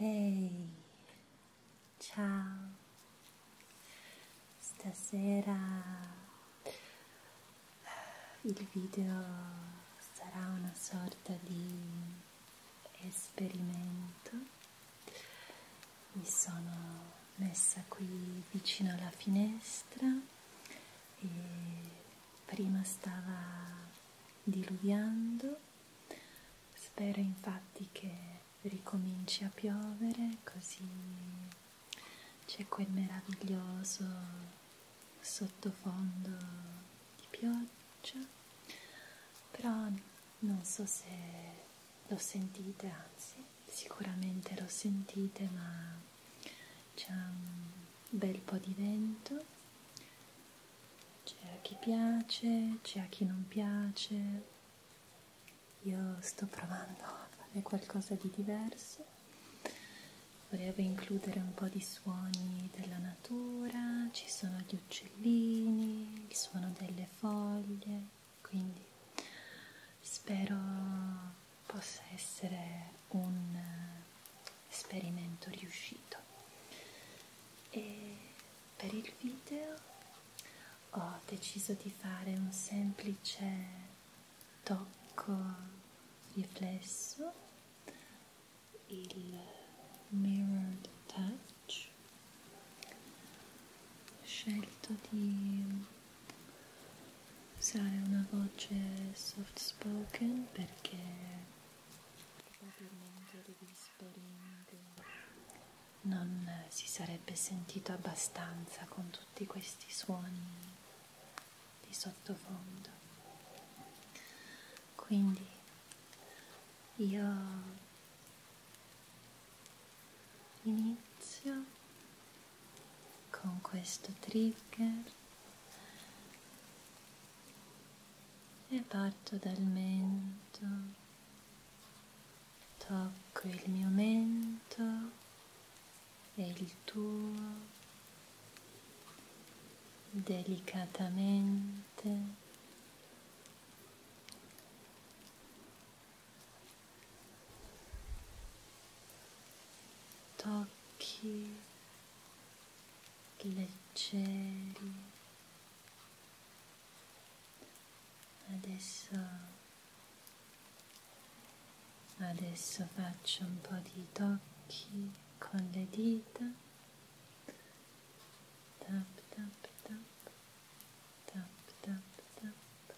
Ehi, ciao, stasera eh, il video sarà una sorta di esperimento. Mi sono messa qui vicino alla finestra e prima stava diluviando Spero infatti che ricominci a piovere così c'è quel meraviglioso sottofondo di pioggia, però non so se lo sentite, anzi sicuramente lo sentite, ma c'è un bel po' di vento c'è a chi piace, c'è a chi non piace. Io sto provando a fare qualcosa di diverso. Volevo includere un po' di suoni della natura, ci sono gli uccellini, il suono delle foglie, quindi spero possa essere un esperimento riuscito e per il video ho deciso di fare un semplice tocco riflesso il mirrored touch ho scelto di usare una voce soft spoken perché complimenti o degli disperimenti non si sarebbe sentito abbastanza con tutti questi suoni di sottofondo quindi io inizio con questo trigger e parto dal mento, tocco il mio mento e il tuo delicatamente. Tocchi leggeri adesso adesso faccio un po' di tocchi con le dita tap tap tap tap tap tap tap tap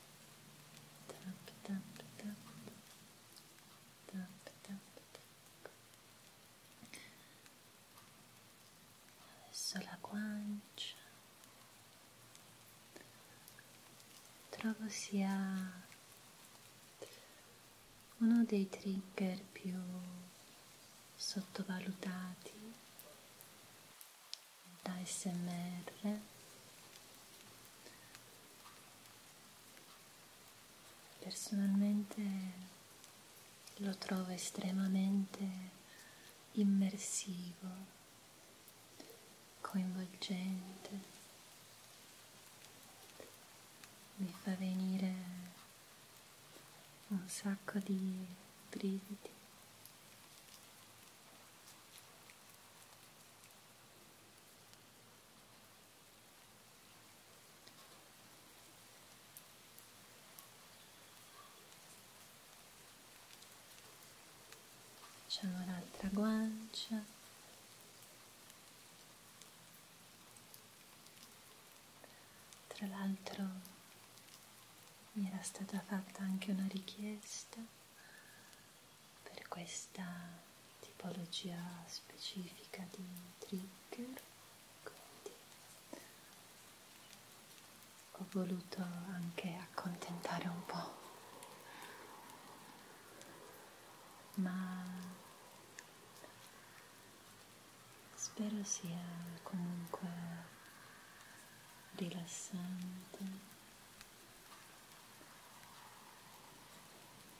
tap tap tap tap tap adesso la guancia trovo sia uno dei trigger più sottovalutati da SMR personalmente lo trovo estremamente immersivo, coinvolgente, mi fa venire un sacco di brividi facciamo l'altra guancia tra l'altro mi era stata fatta anche una richiesta per questa tipologia specifica di trigger quindi ho voluto anche accontentare un po' ma spero sia comunque rilassante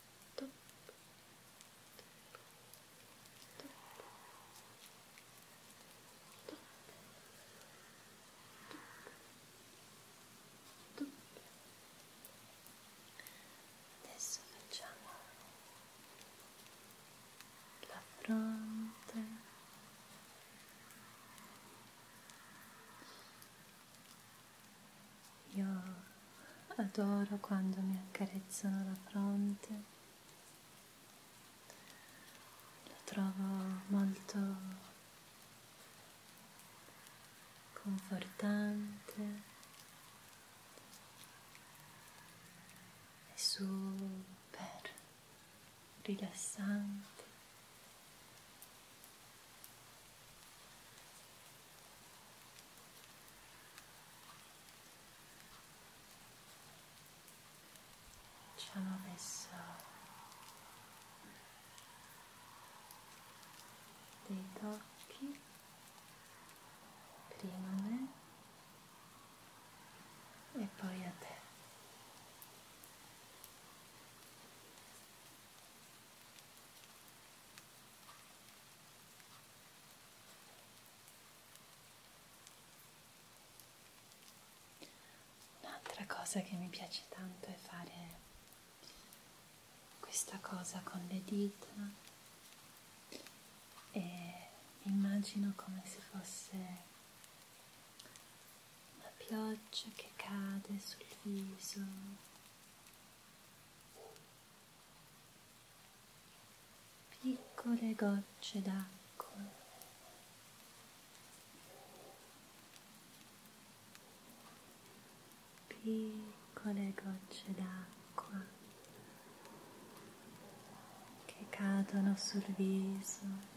top, top, top, top, top. Adesso facciamo la fronte io adoro quando mi accarezzano la fronte, la trovo molto confortante e super rilassante ci hanno messo dei tocchi prima a me e poi a te Un'altra cosa che mi piace tanto è fare questa cosa con le dita e immagino come se fosse una pioggia che cade sul viso piccole gocce d'acqua piccole gocce d'acqua che cadono sul viso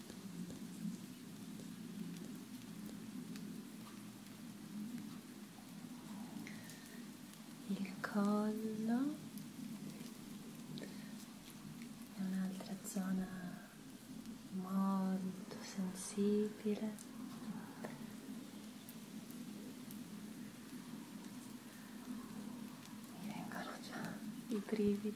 il collo è un'altra zona molto sensibile mi vengono già i brividi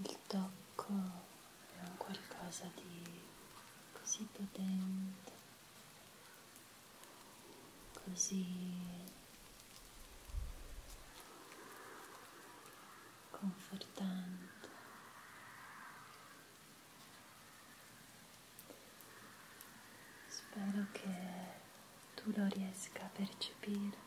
Il tocco è un qualcosa di così potente così confortante spero che tu lo riesca a percepire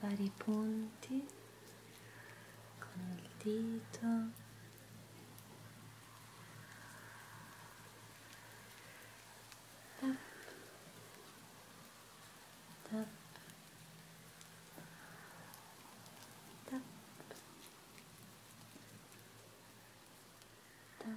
vari punti con il dito tap, tap, tap, tap,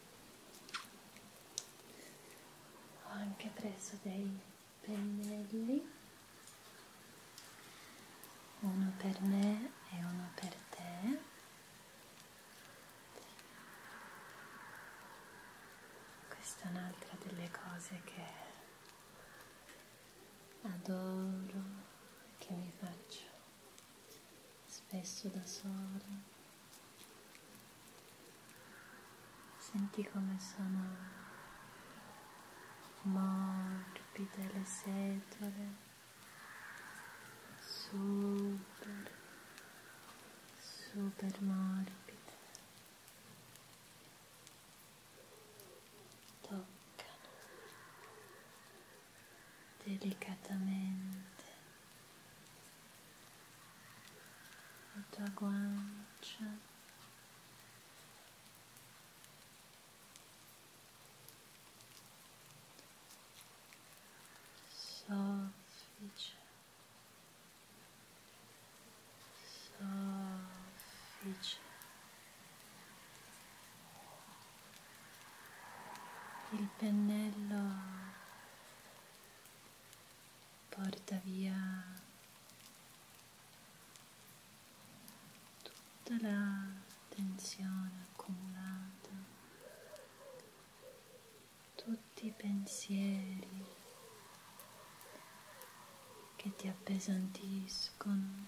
ho anche preso dei pennelli uno per me e uno per te questa è un'altra delle cose che adoro che mi faccio spesso da sola. Senti come sono morbide le setole, super, super morbide. toccano delicatamente la tua guancia soffice soffice il pennello porta via tutta la tensione accumulata, tutti i pensieri che ti appesantiscono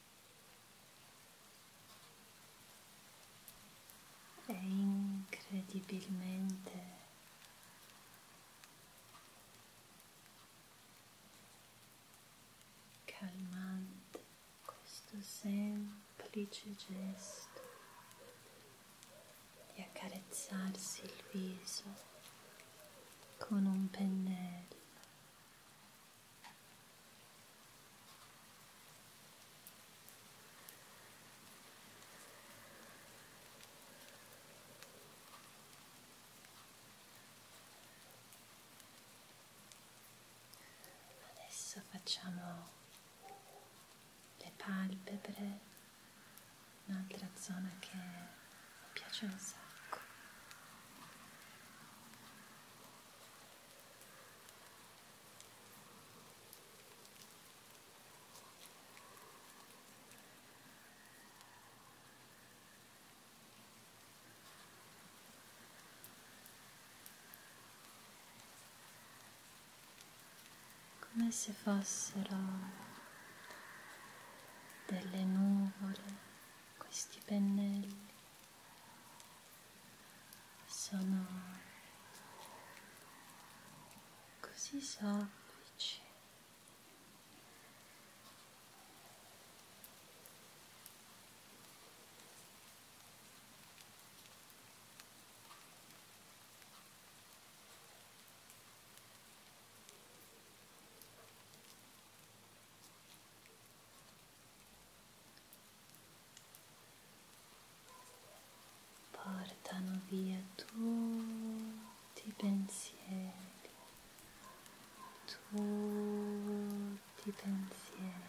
è incredibilmente calmante questo semplice gesto di accarezzarsi il viso con un pennello Adesso facciamo le palpebre, un'altra zona che mi piace un sacco come se fossero delle nuvole questi pennelli sono così soffici portano via tutti i pensieri, tutti i pensieri.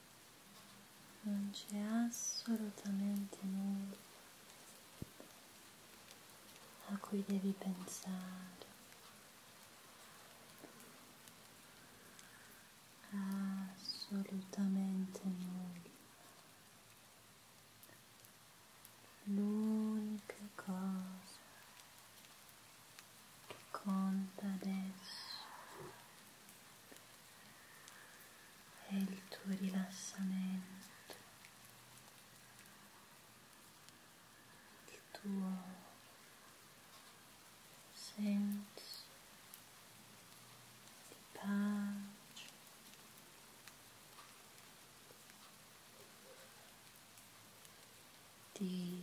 non c'è assolutamente nulla a cui devi pensare. Assolutamente nulla. L'unica cosa che conta adesso e il tuo rilassamento, il tuo senso di pace. Di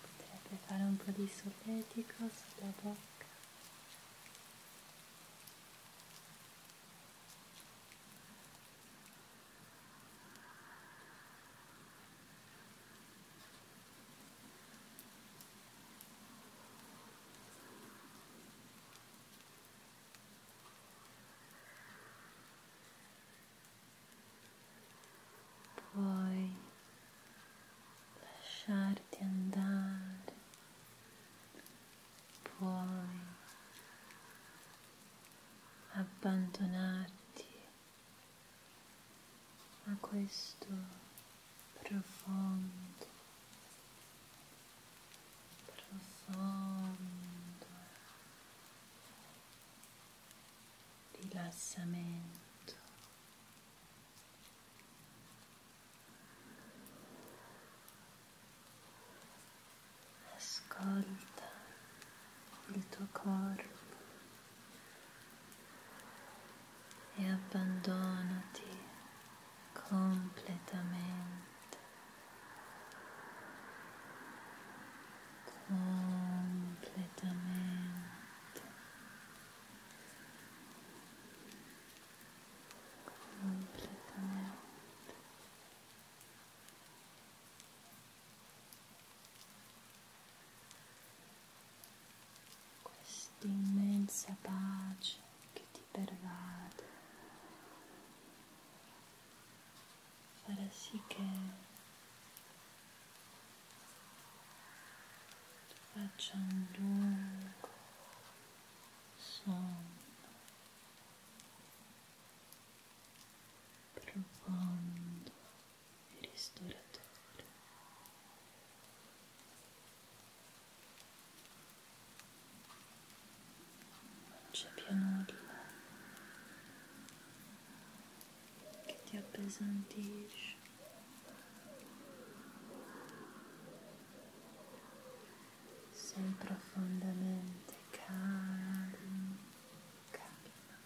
potrebbe fare un po' di solletico sulla bocca Puoi lasciarti andare, puoi abbandonarti a questo profondo, profondo rilassamento. Ascolta il tuo corpo. E abbandonati completamente completamente completamente completamente questa immensa pace che ti pervade farà sì che faccia un lungo sonno profondo e ristoratore non c'è più nulla che ti appesantisce sei profondamente calmo calma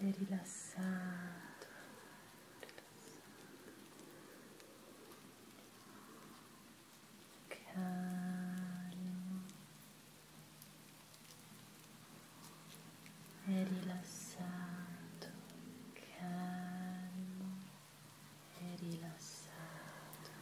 e rilassato rilassato calmo e rilassato, calmo e rilassato.